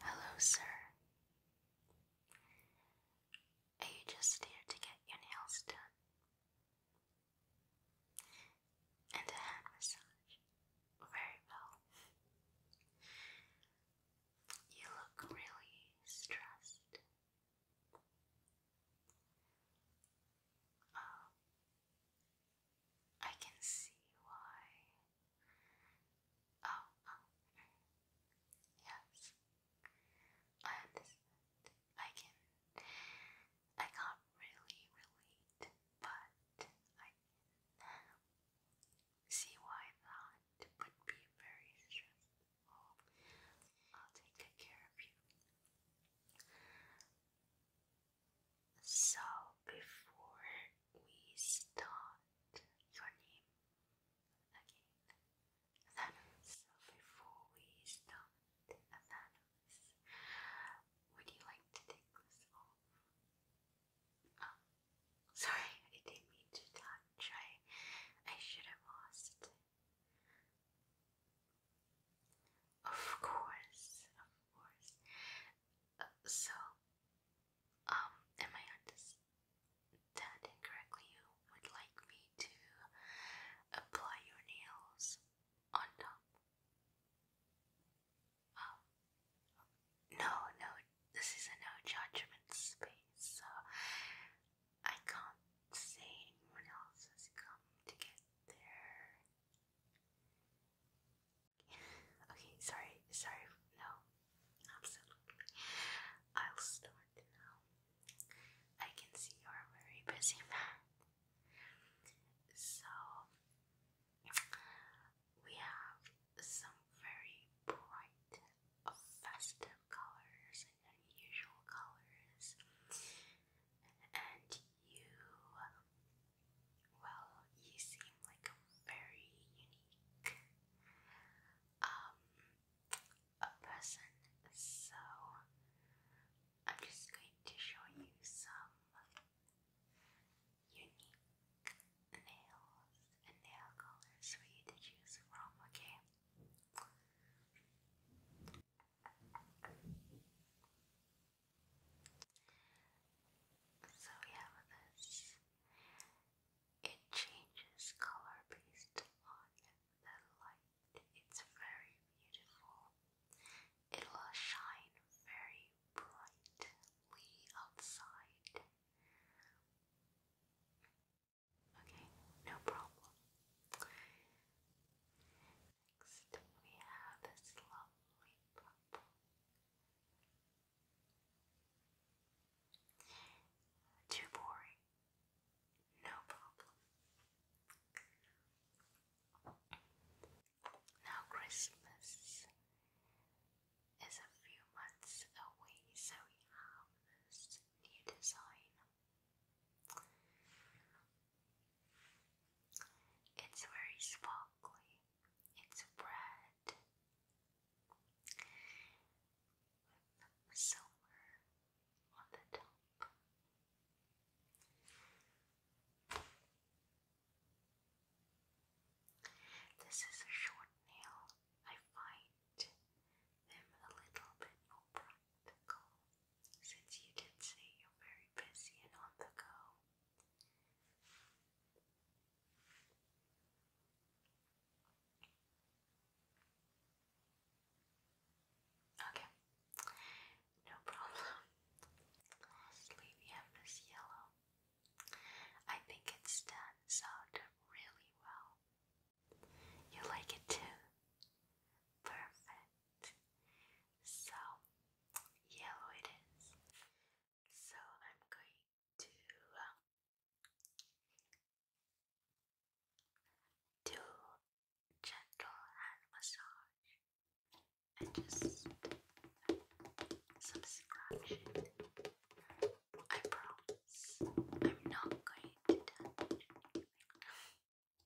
Hello, sir. Are you just here to get your nails done? And a hand massage. Very well. You look really stressed. Oh, I can see why. Oh, oh. Yes. I I can. I can't really relate, but I see why that would be very stressful. I'll take care of you. So before we start your name again, Thanos. So before we start Thanos, would you like to take this off? Oh, sorry, I didn't mean to touch. I I should have asked. Of course, of course so, um, am I understanding correctly? You would like me to apply your nails on top? Oh. No, no, this is a no judgment space, so I can't say anyone else has come to get their Okay, sorry, sorry, no, absolutely. I'll start now. I can see you are a very busy man. So, we have some very bright, festive colors and unusual colors, and you well, you seem like a very unique um a person, so I'm just going to show you some unique nails and nail colors for you to choose from, okay? So we have this. It changes color based on the light. It's very beautiful. It will shine very brightly outside. Okay, no problem. Next, we have this lovely purple too boring. No problem. Now, Christmas is a few months away, so we have this new design. It's very sparkly it's red with silver on the top. This is a short nail. I find them a little bit more since you did say you're very busy and on the go. Okay, no problem. Lastly, we have this yellow. I think it stands out really well. You like it too? Perfect. So, yellow it is. So, I'm going to um, do gentle hand massage and just some scratching. I promise I'm not going to touch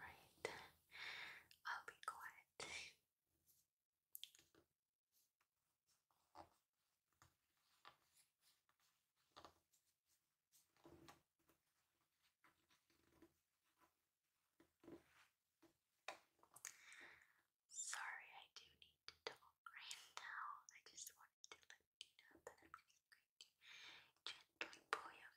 Right, I'll be quiet. Sorry, I do need to talk right now. I just wanted to let you know that I'm just going to gently pull your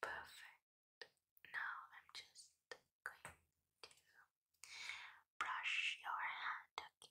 Perfect. Now I'm just going to brush your hand, Okay,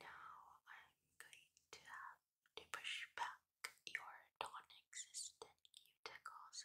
Now I'm going to have to push back your non existent cuticles.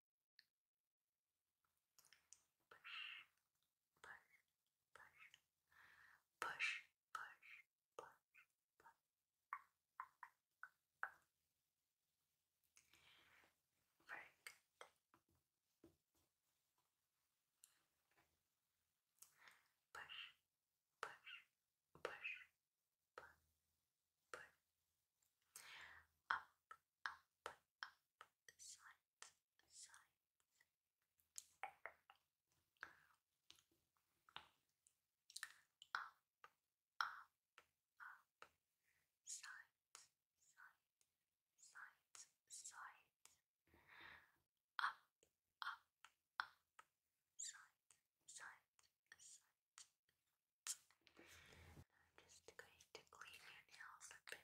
push, push, push, push. Very good. Push, push, push, push, push. Up, up, up the sides, Up, up, up, sides, sides, sides, sides. Up, up, up, sides, sides, sides. And I'm just going to clean your nails a bit.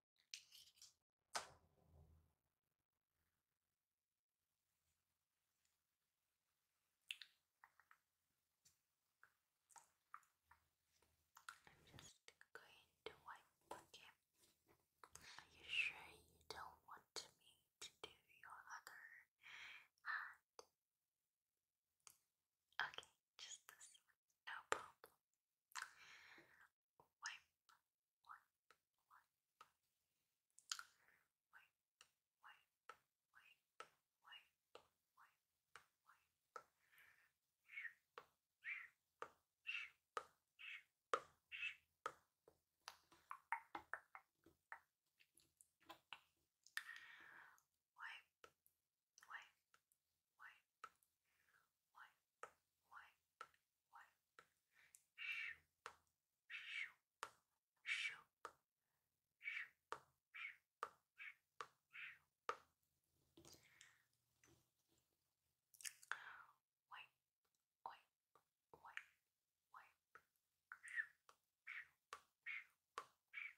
I'm just going to wipe again. Are you sure you don't want me to do your other hand? Okay, just this one, no problem wipe, wipe, wipe, wipe, wipe, wipe, wipe, wipe, wipe. Shoop, shoop, shoop, shoop, shoop. Wipe, wipe, wipe, wipe, wipe, wipe. Shoop, shoop, shoop, shoop, shoop, shoop, shoop. Wipe, wipe, wipe, wipe. Shoop, shoop, shoop, shoop. Shoop,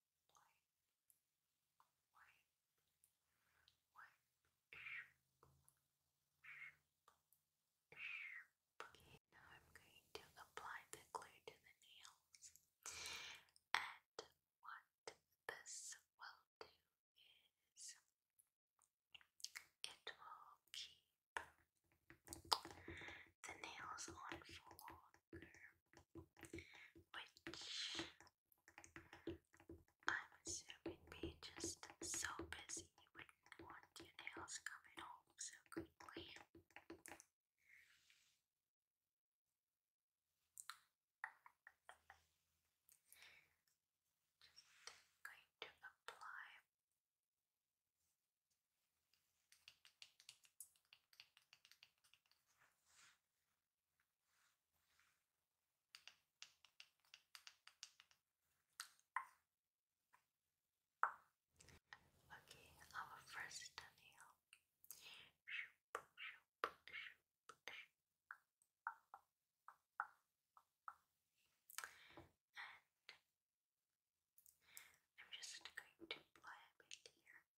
Okay, now I'm going to apply the glue to the nails, and what this will do is it will keep the nails on for long which I'm assuming being just so busy would want your nails coming home so quickly. Just going to apply Okay, our first nail. I'm just going to apply a here.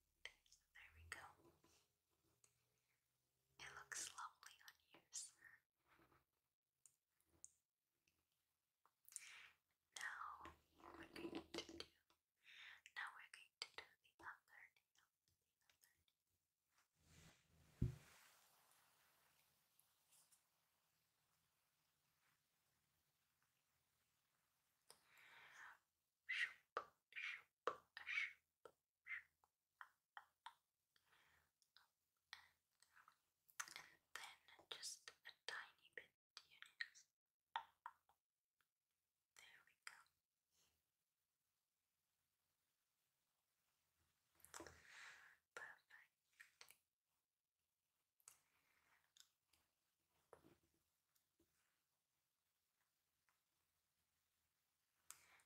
There we go. It looks lovely on you, Now we're going to do now we're going to do The other nail. Shoop shoop, a Then just a tiny bit to There we go. Perfect.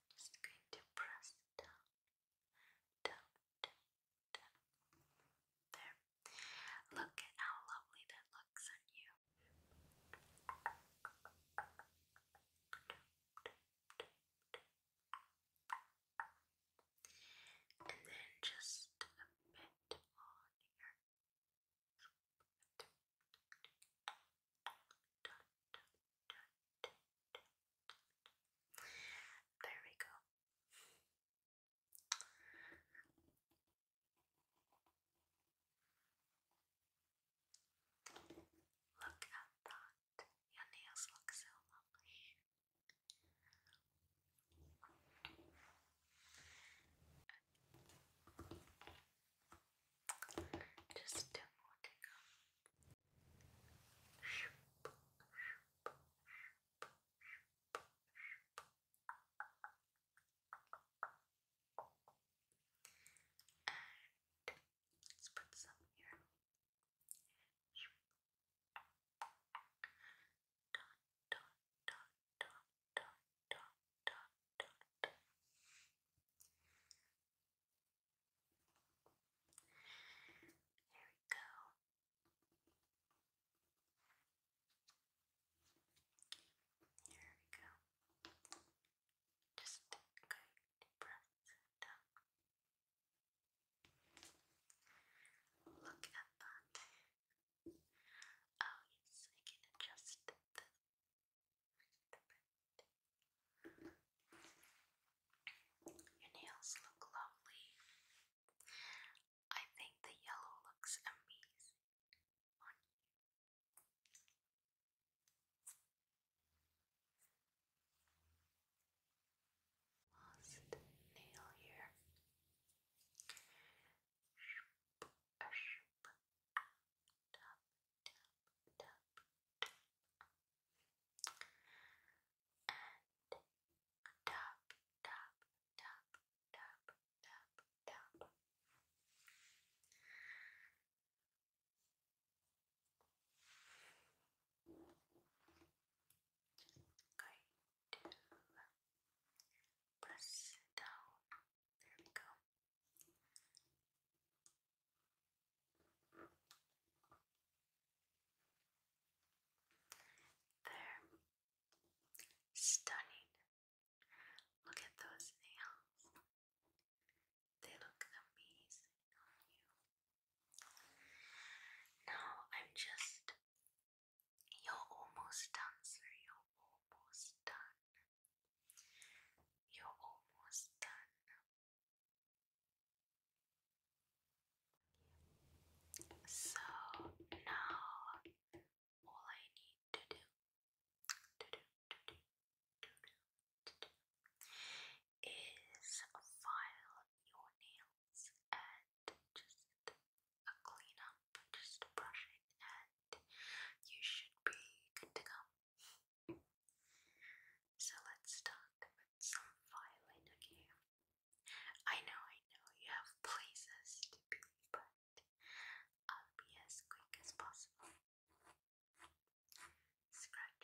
Just going to press down, down, down, down. There. Look at how lovely that looks on you. And then just a bit on your there we go. Look at that. Your nails look so lovely. Just a more tingle. Shoop, let's put some here. Dot, dot, dot, dot, dot, dot, we go. Here we go. Just take a deep breath Look at that. Oh yes, I can adjust the, Your nails look lovely. I think the yellow looks amazing you. Last nail here. Going to press down. There we go. There. Stunning. Look at those nails. They look amazing on you. Now I'm just you're almost done, sir. You're almost done. You're almost done. So now all I need to do to do to do to do to do is file your nails and just a clean up, just brush it, and you should be good to go. So let's start with some filing, okay? I know, I know you have places to be, but I'll be as quick as possible. Scratch, scratch.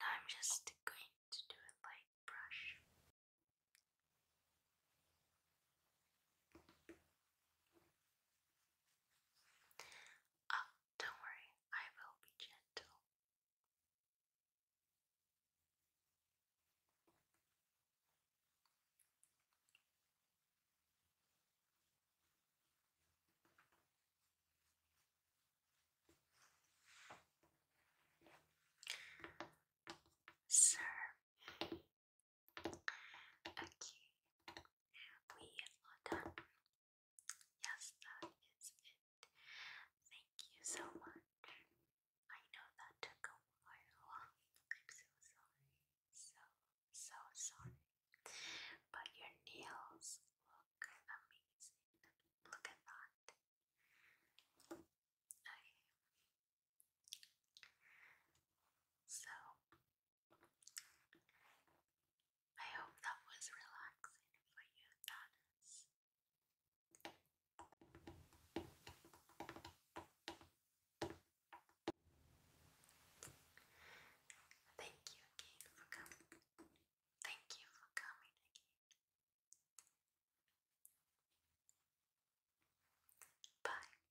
I'm just going to do a light brush. Oh, don't worry, I will be gentle. Sir. Okay, we are done. Yes, that is it. Thank you so much. I know that took a while. I'm so sorry. So, so sorry. But your nails look amazing. Look at that. Okay. So, I hope that was relaxing for you, Dennis. Thank you again for coming. Thank you for coming again. Bye.